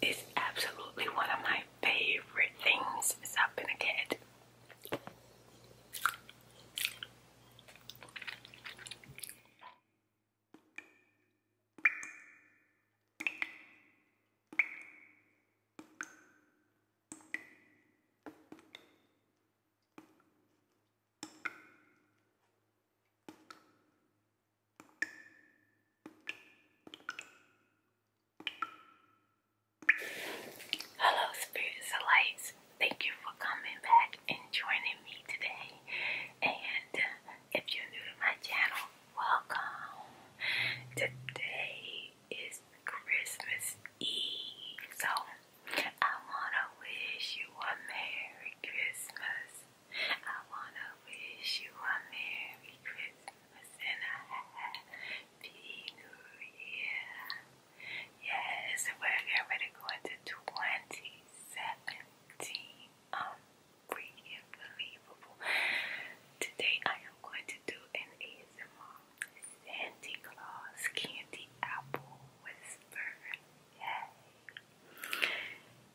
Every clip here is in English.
It's absolutely one of my favorite things since a kid. Hello, spirits of lights. Thank you for coming back and joining me today. And if you're new to my channel, welcome. Today is Christmas Eve, so I want to wish you a Merry Christmas I wanna wish you a Merry Christmas and a Happy New Year. Yes, we're getting to go into 2017. Unbreaking, um, believable. Today I am going to do an ASMR Santa Claus candy apple whisper. Yay!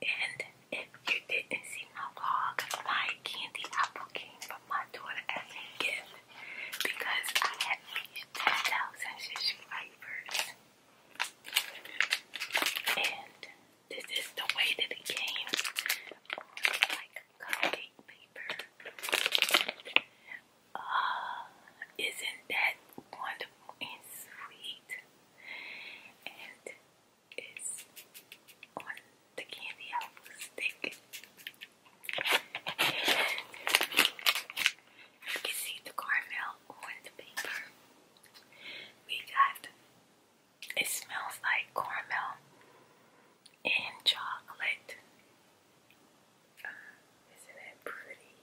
And if you didn't see my vlog, my candy apple came from my daughter as a gift because I had 10,000 subscribers. And this is the way that it came on like cupcake paper. Uh, isn't that wonderful and sweet? And is on the candy apple stick. You can see the caramel on the paper. We got it smells like caramel and chocolate. Uh, isn't it pretty?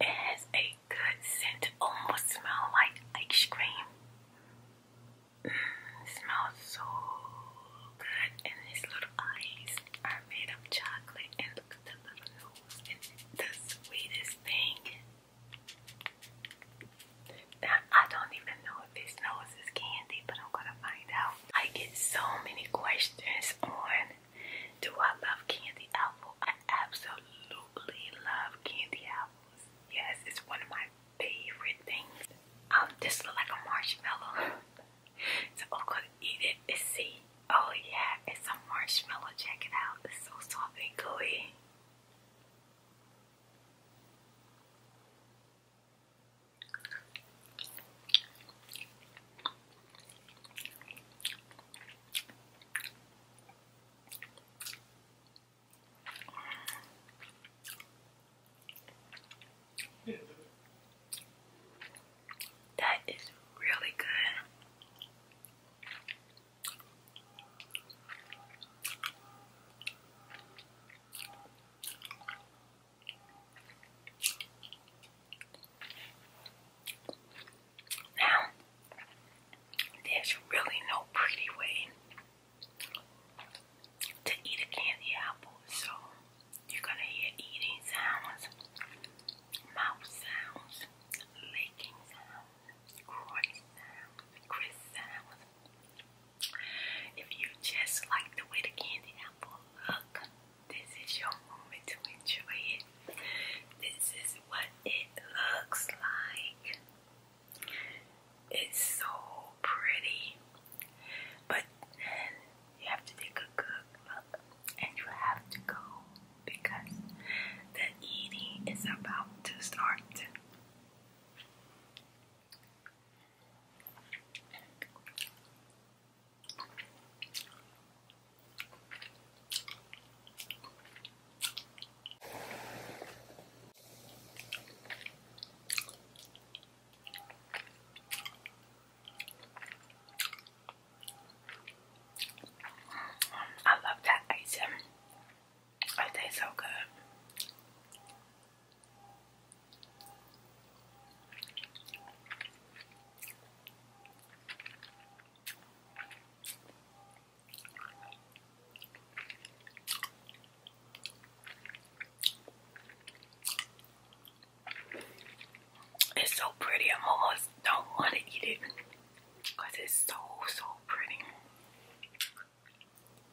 It has a good scent, almost smell like ice cream. Mm, smells so good, and his little eyes are made of chocolate, and look at the little nose, the sweetest thing. I don't even know know nose is candy, but I'm gonna find out. I get so many questions on do I love candy apples? I absolutely love candy apples. Yes, it's one of my favorite things. I um, this looks like a marshmallow. so I'm gonna eat it and see. Oh yeah, it's a marshmallow. Check it out. It's so soft and gooey. That is really good. Now, there's really no pretty way to eat a candy apple, so you're gonna hear eating sounds, mouth sounds, licking sounds, crunch sounds, crisp sounds. If you just like the way the candy apple look, this is your moment to enjoy it. This is what it looks like. It's so pretty. But you have to take a good look and you have to go because the eating is about to start. I love that ice cream. It tastes so good. It's so pretty, I almost don't want to eat it because it's so, so pretty.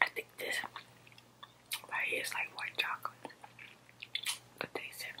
I think this right here is like white chocolate. Good taste it.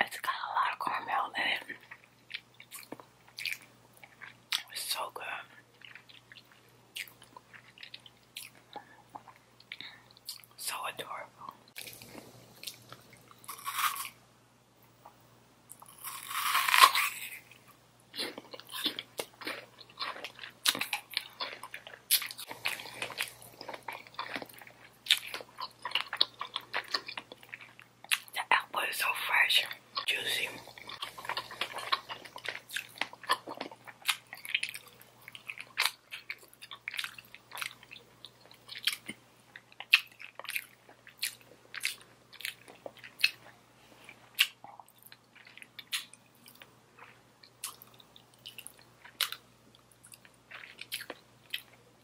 It's got a lot of caramel in it. It's so good. So adorable. The apple is so fresh, juicy.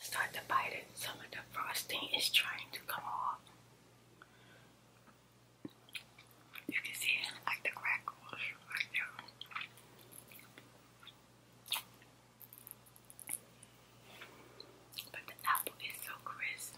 Start to bite it. Some of the frosting is trying to come off. You can see like the crackles right there. But the apple is so crisp.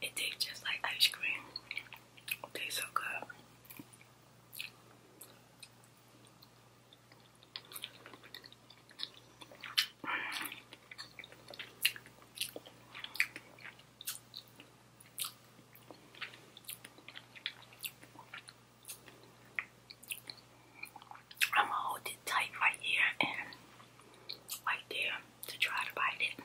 It tastes just like ice cream. tastes so good. I'm gonna hold it tight right here and right there to try to bite it.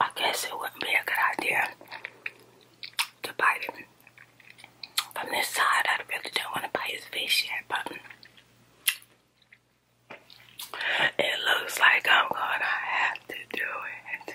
I guess it wouldn't be a good idea to bite him from this side. I really don't want to bite his face yet, but it looks like I'm gonna have to do it.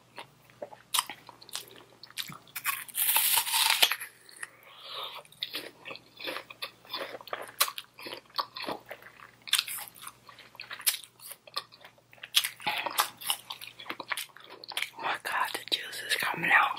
Oh my God, the juice is coming out.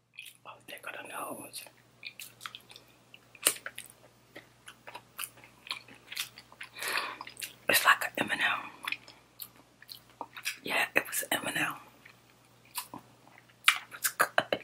Oh, they got nose. It's like an M&M. Yeah, it was M&M. It was good.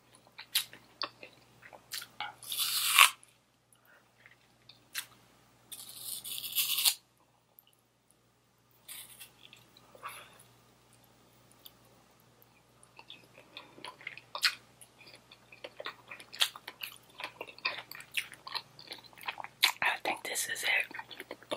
I think this is it.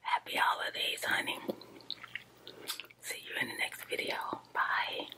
Happy holidays, honey. See you in the next video. Bye.